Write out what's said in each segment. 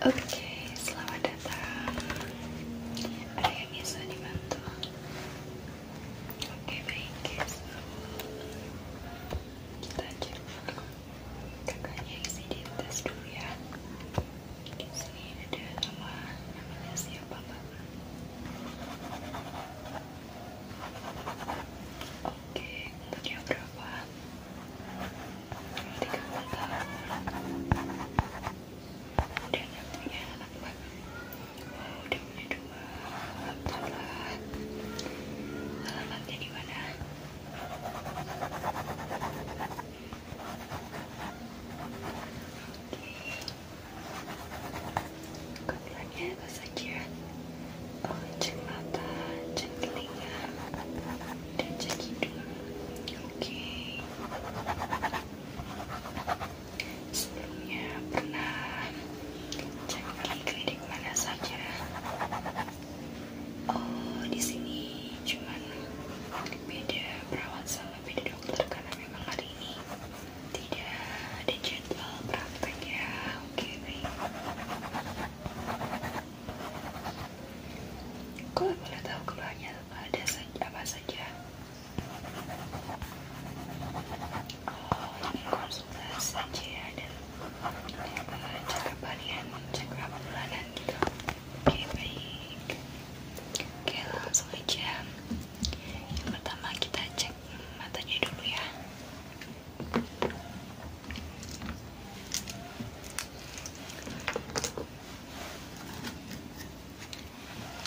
Oke, selamat datang. Ada yang bisa dibantu? Oke, baik. kita cek kakaknya isi di tes dulu ya. Di sini ada nama, namanya siapa, Pak? Oke, okay, umurnya berapa? udah gak punya anak baru udah punya dua alat alamatnya di mana oke kebetulannya apa saja cek mata, dan cek Oke. Sebelumnya pernah cek mana saja? Oh, di sini cuman beda perawat sama beda dokter karena memang hari ini tidak ada jadwal ya. Oke, kalau boleh tahu keluhannya ada apa saja? Oh, saja ya, dan uh, cek harian, cek Oke baik. Oke langsung aja. pertama kita cek matanya dulu ya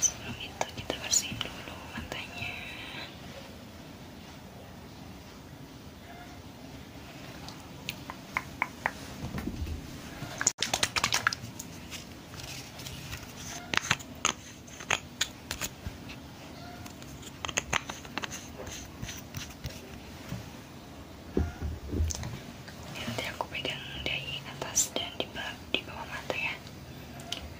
sebelum itu kita bersihin dulu matanya Ya, nanti aku pegang dari atas dan di bawah, di bawah mata ya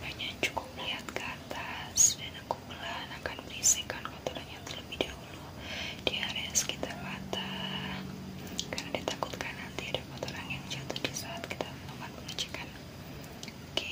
hanya cukup lihat ke atas dan aku pelan akan berisihkan kotorannya terlebih dahulu di area sekitar mata karena ditakutkan nanti ada kotoran yang jatuh di saat kita melakukan pengecekan oke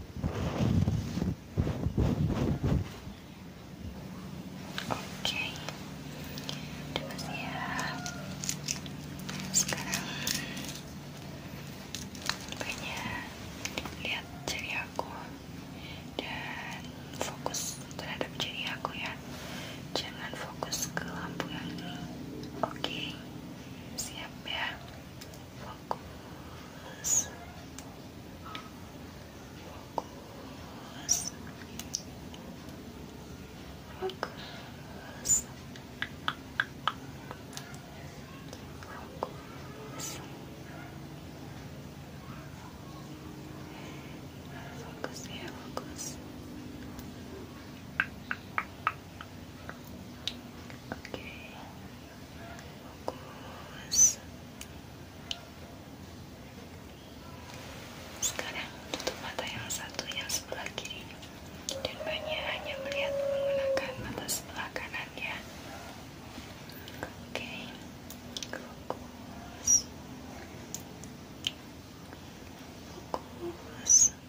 Oke, udah ya, siap. Sekarang banyak lihat jari aku dan fokus terhadap jari aku ya. Jangan fokus ke lampu yang ini. Oke, siap ya. Focus. Focus. Focus. Focus. Focus here, focus. Focus. Oke, fokus. Sekarang tutup mata yang satu yang sebelah kiri dan banyak hanya melihat menggunakan mata sebelah kanannya. Oke, fokus. Fokus.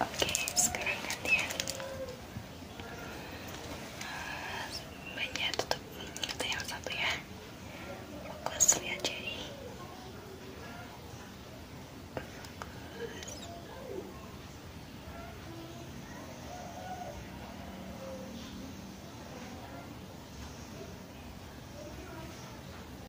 Oke, sekarang gantian eh, banyak tutup mata yang satu ya. Fokus lihat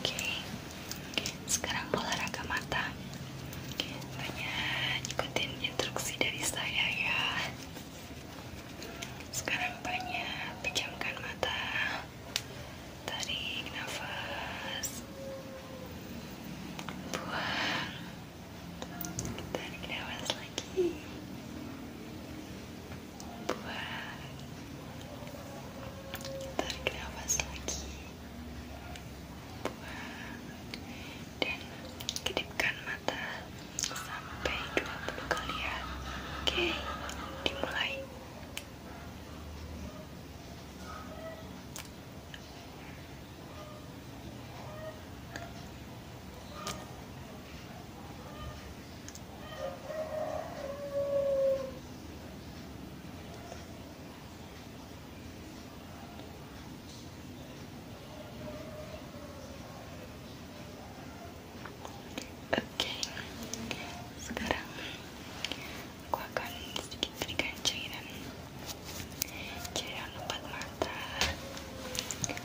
Oke, sekarang olahraga mata. Banyak ikutin instruksi dari saya ya. Sekarang banyak pejamkan mata, tarik nafas, buang, tarik nafas lagi buat tarik nafas lagi buat dan kedipkan mata sampai 20 kali ya oke dimulai Oke, sekarang aku akan sedikit berikan cairan, cairan obat mata. Hmm.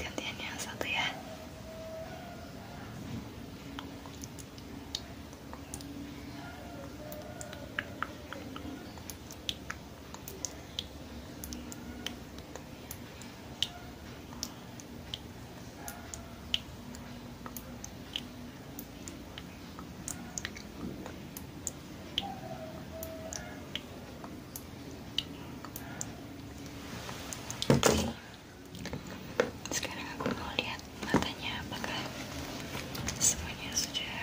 gantian yang satu ya sekarang aku mau lihat matanya apakah semuanya sudah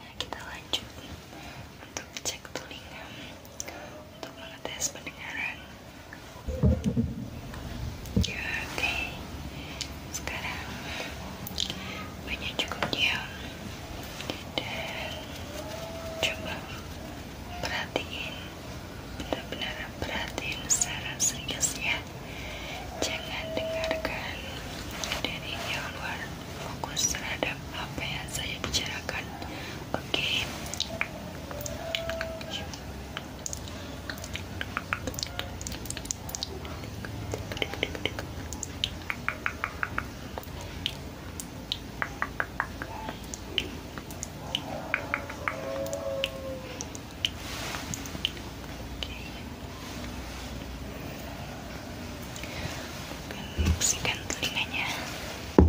Nah, kita lanjut untuk cek telinga untuk mengetes pendengaran. Ya, oke. Sekarang banyak cukup diam dan coba perhatiin benar-benar perhatiin secara serius ya jangan dengarkan dari yang luar fokus terhadap apa yang saya bicarakan Oke, Oke. Bersihkan telinganya. Oke,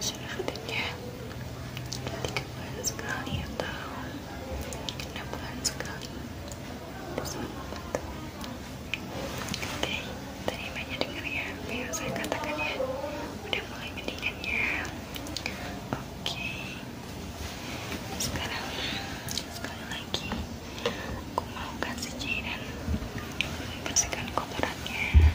sudah rutinnya tiga bulan sekali atau enam bulan sekali bersama bantu oke dengar ya yang saya katakan ya udah mulai mendingan ya. oke sekarang sekali lagi aku mau kasih cairan membersihkan kotorannya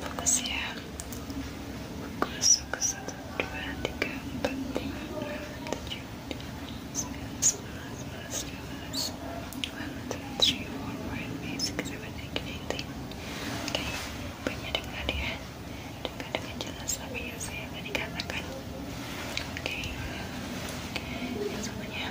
fokus ya. Fokus, fokus satu, dua, tiga, empat, lima, enam, tujuh, sembilan, sepuluh, sebelas, dua belas, one, two, three, four, five, six, seven, eight, nine, ten. Okay, banyak dengar ya. Dengar dengan jelas apa yang saya akan dikatakan. Oke, okay. yang semuanya.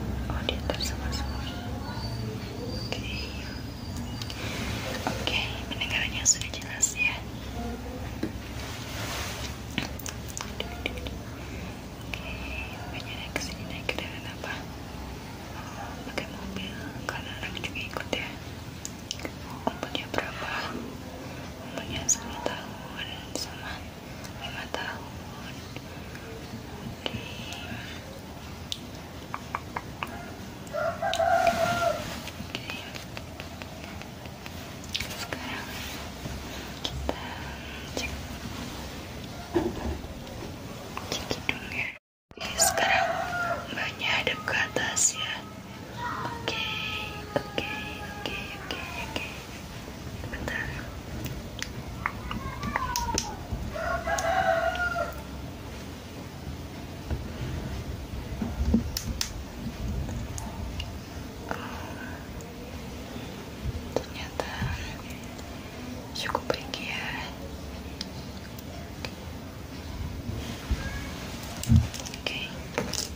oh diantar sama suami oke okay. oke okay, sudah jelas ya oke banyak kesini naik kendaraan apa oh, pakai mobil karena anak juga ikut ya umurnya berapa umurnya 10 tahun sama lima tahun sekarang kita cek cek hidungnya sekarang mbaknya hadap ke atas ya oke oke oke oke ternyata cukup ringgi ya oke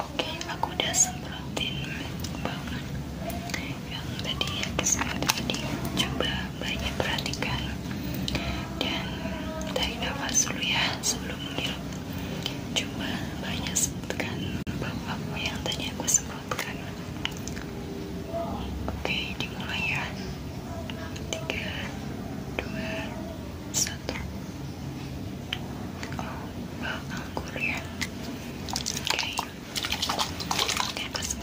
Oke, aku udah semprotin baunya yang tadi ya kesan tadi coba banyak perhatikan dan tarik nafas dulu ya sebelum menghirup coba banyak sebutkan apa yang tadi aku sebutkan oke dimulai ya tiga dua satu oh bakal ya oke Oke,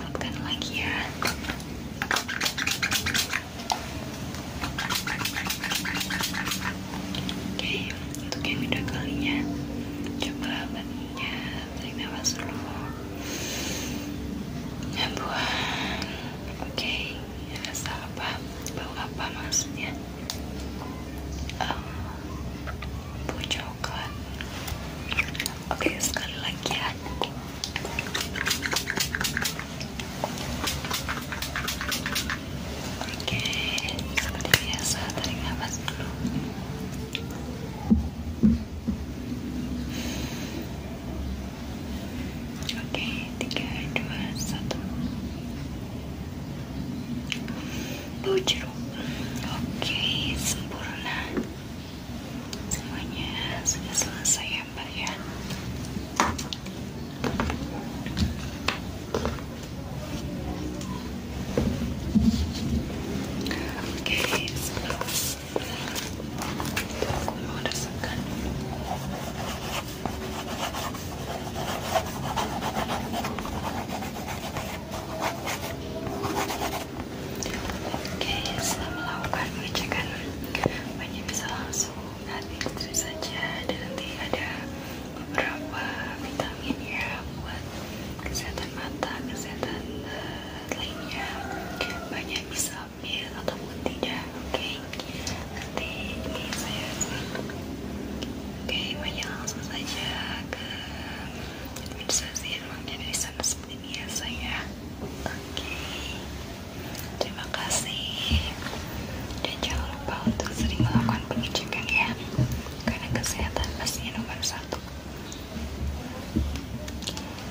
aku lagi ya. Oke, untuk yang kedua kalinya, coba badannya tarik nafas Ya, buang. Oke, rasa apa? Bau apa maksudnya? Um, bocor god kan? oke sekali lagi ya oke seperti biasa tarik nafas Oke, tiga, dua, satu bau oke sempurna semuanya sudah selesai ya mbak ya oke sebelum aku meresapkan Oke, Oke, setelah melakukan pengecekan banyak bisa langsung nanti listrik saja dan nanti ada beberapa vitamin ya buat kesehatan mata, kesehatan uh, lainnya banyak bisa ambil ataupun tidak, oke nanti ini saya oke, okay, banyak langsung saja ke bisa sih emangnya dari sana seperti biasa ya oke terima kasih dan jangan lupa untuk sering melakukan pengecekan karena kesehatan pastinya nomor satu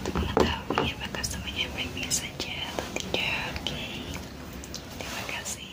untuk mengetahui apakah semuanya baik-baik saja atau tidak oke terima kasih